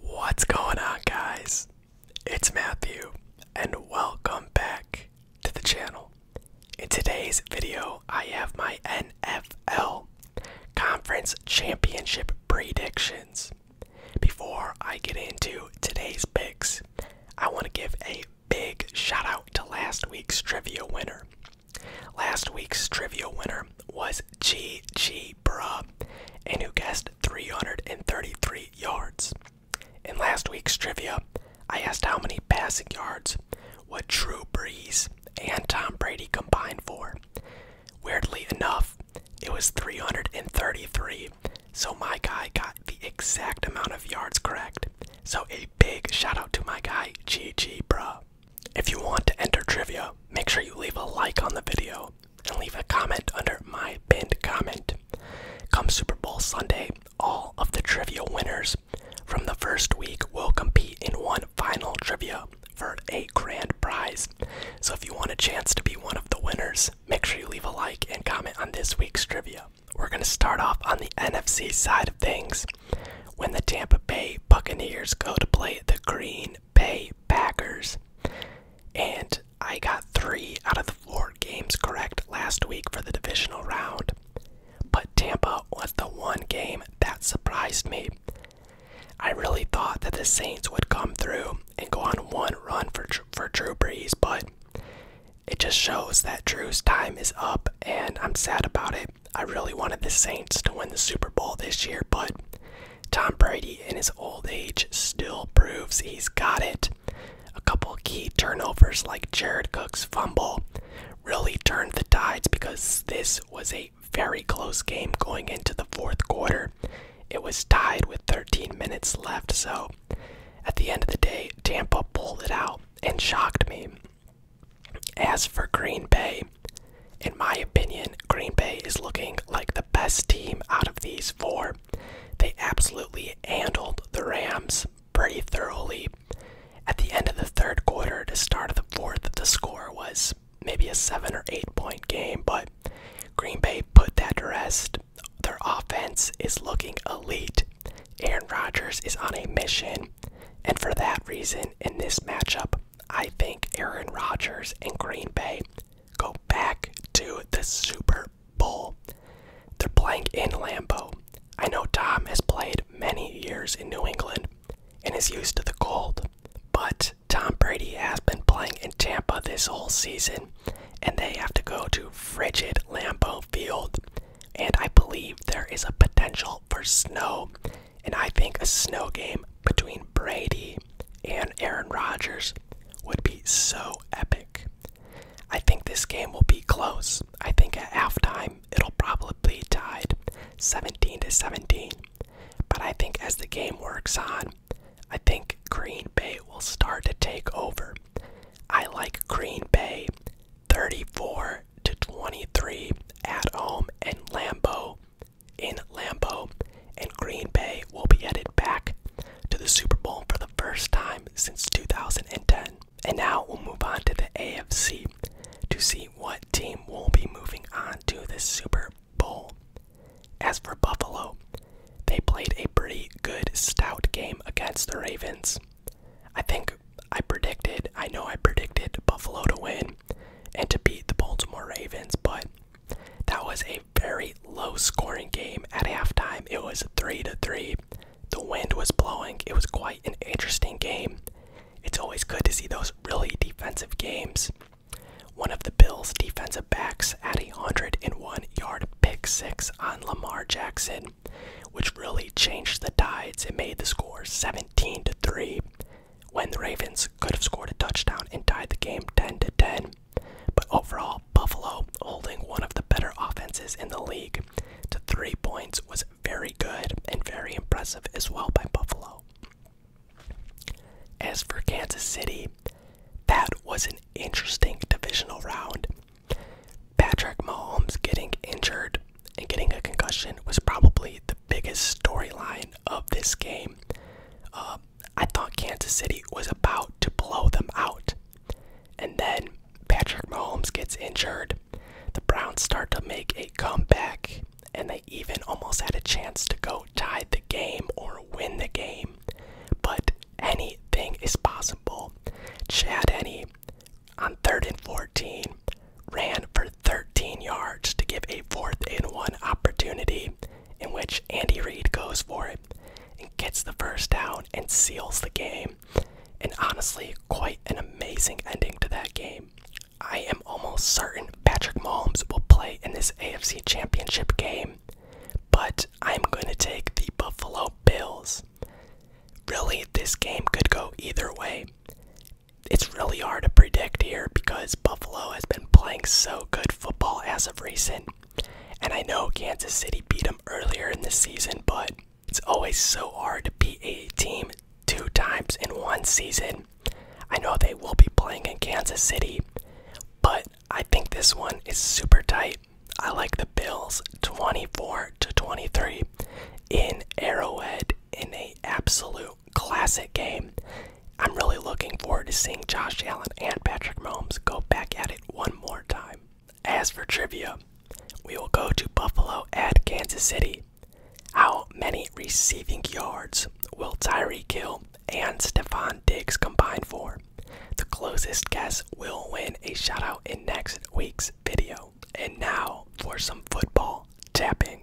What's going on, guys? It's Matthew, and welcome back to the channel. In today's video, I have my NFL Conference Championship predictions. Before I get into today's picks, I want to give a big shout out to last week's trivia winner. Last week's trivia winner was GG, bruh, and who guessed 333 yards. In last week's trivia, I asked how many passing yards what Drew Brees and Tom Brady combined for. Weirdly enough, it was 333, so my guy got the exact amount of yards correct. So a big shout out to my guy, GG, bruh. If you want to enter trivia, make sure you leave a like on the video and leave a comment under my pinned comment. Come Super Bowl Sunday, all of the trivia winners from the first week will compete in one final trivia for a grand prize. So if you want a chance to be one of the winners, make sure you leave a like and comment on this week's trivia. We're going to start off on the NFC side of things when the Tampa Bay Buccaneers go to play the Green Bay Packers. And I got three out of the four games correct last week for the divisional round. But Tampa was the one game that surprised me. I really thought that the Saints would come through and go on one run for, for Drew Brees, but it just shows that Drew's time is up, and I'm sad about it. I really wanted the Saints to win the Super Bowl this year, but Tom Brady, in his old age, still proves he's got it. A couple key turnovers, like Jared Cook's fumble, really turned the tides because this was a very close game going into the fourth quarter. It was tied with 13 minutes left, so at the end of the day, Tampa pulled it out and shocked me. As for Green Bay, in my opinion, Green Bay is looking like the best team out of these four. They absolutely handled the Rams pretty thoroughly. At the end of the third quarter to start of the fourth, the score was maybe a seven or eight point game, but Green Bay put that to rest. Their offense is looking elite. Aaron Rodgers is on a mission. And for that reason, in this matchup, I think Aaron Rodgers and Green Bay go back to the Super Bowl. They're playing in Lambeau. I know Tom has played many years in New England and is used to the cold, but Tom Brady has been playing in Tampa this whole season, and they have to go to frigid Lambeau Field and I believe there is a potential for snow. And I think a snow game between Brady and Aaron Rodgers would be so epic. I think this game will be close. I think at halftime it'll probably be tied 17 to 17. But I think as the game works on, I think Green Bay will start to take over. I like Green Bay 34 to 23 at home and Lambeau. In Lambeau, and Green Bay will be headed back to the Super Bowl for the first time since 2010. And now we'll move on to the AFC to see what team will be moving on to the Super Bowl. As for Buffalo, they played a pretty good stout game against the Ravens. I think I predicted, I know I predicted Buffalo to win and to beat the Baltimore Ravens, but that was a very low scoring game at halftime. It was 3 to 3. The wind was blowing. It was quite an interesting game. It's always good to see those really defensive games. One of the Bills' defensive backs had a 101 yard pick six on Lamar Jackson which really changed the tides and made the score 17 to 3 when the Ravens could have scored a touchdown and tied the game 10 to 10. But overall, Buffalo holding one of the better offenses in the league to 3 points was very good and very impressive as well by Buffalo. As for Kansas City, that was an interesting divisional round Patrick Mahomes getting injured and getting a concussion was probably the biggest storyline of this game. Uh, I thought Kansas City was about to blow them out. And then Patrick Mahomes gets injured. The Browns start to make a comeback, and they even almost had a chance to go tie the game or win the game. But anything is possible. Chad Henney on third and 14 ran for 13 yards to give a fourth and one opportunity in which Andy Reid goes for it and gets the first down and seals the game. And honestly, quite an amazing ending to that game. I am almost certain Patrick Mahomes will play in this AFC Championship game but I'm going to take the Buffalo Bills. Really, this game could go either way. It's really hard to predict here because Buffalo has been playing so good football as of recent. And I know Kansas City beat them earlier in the season, but it's always so hard to beat a team two times in one season. I know they will be playing in Kansas City, but I think this one is super tight. I like the Bills 24 to 23 in Arrowhead in a absolute classic game. I'm really looking forward to seeing Josh Allen and Patrick Mahomes go back at it one more time. As for trivia, we will go to Buffalo at Kansas City. How many receiving yards will Tyree kill and Stefan Diggs combined for. The closest guess will win a shoutout in next week's video. And now for some football tapping.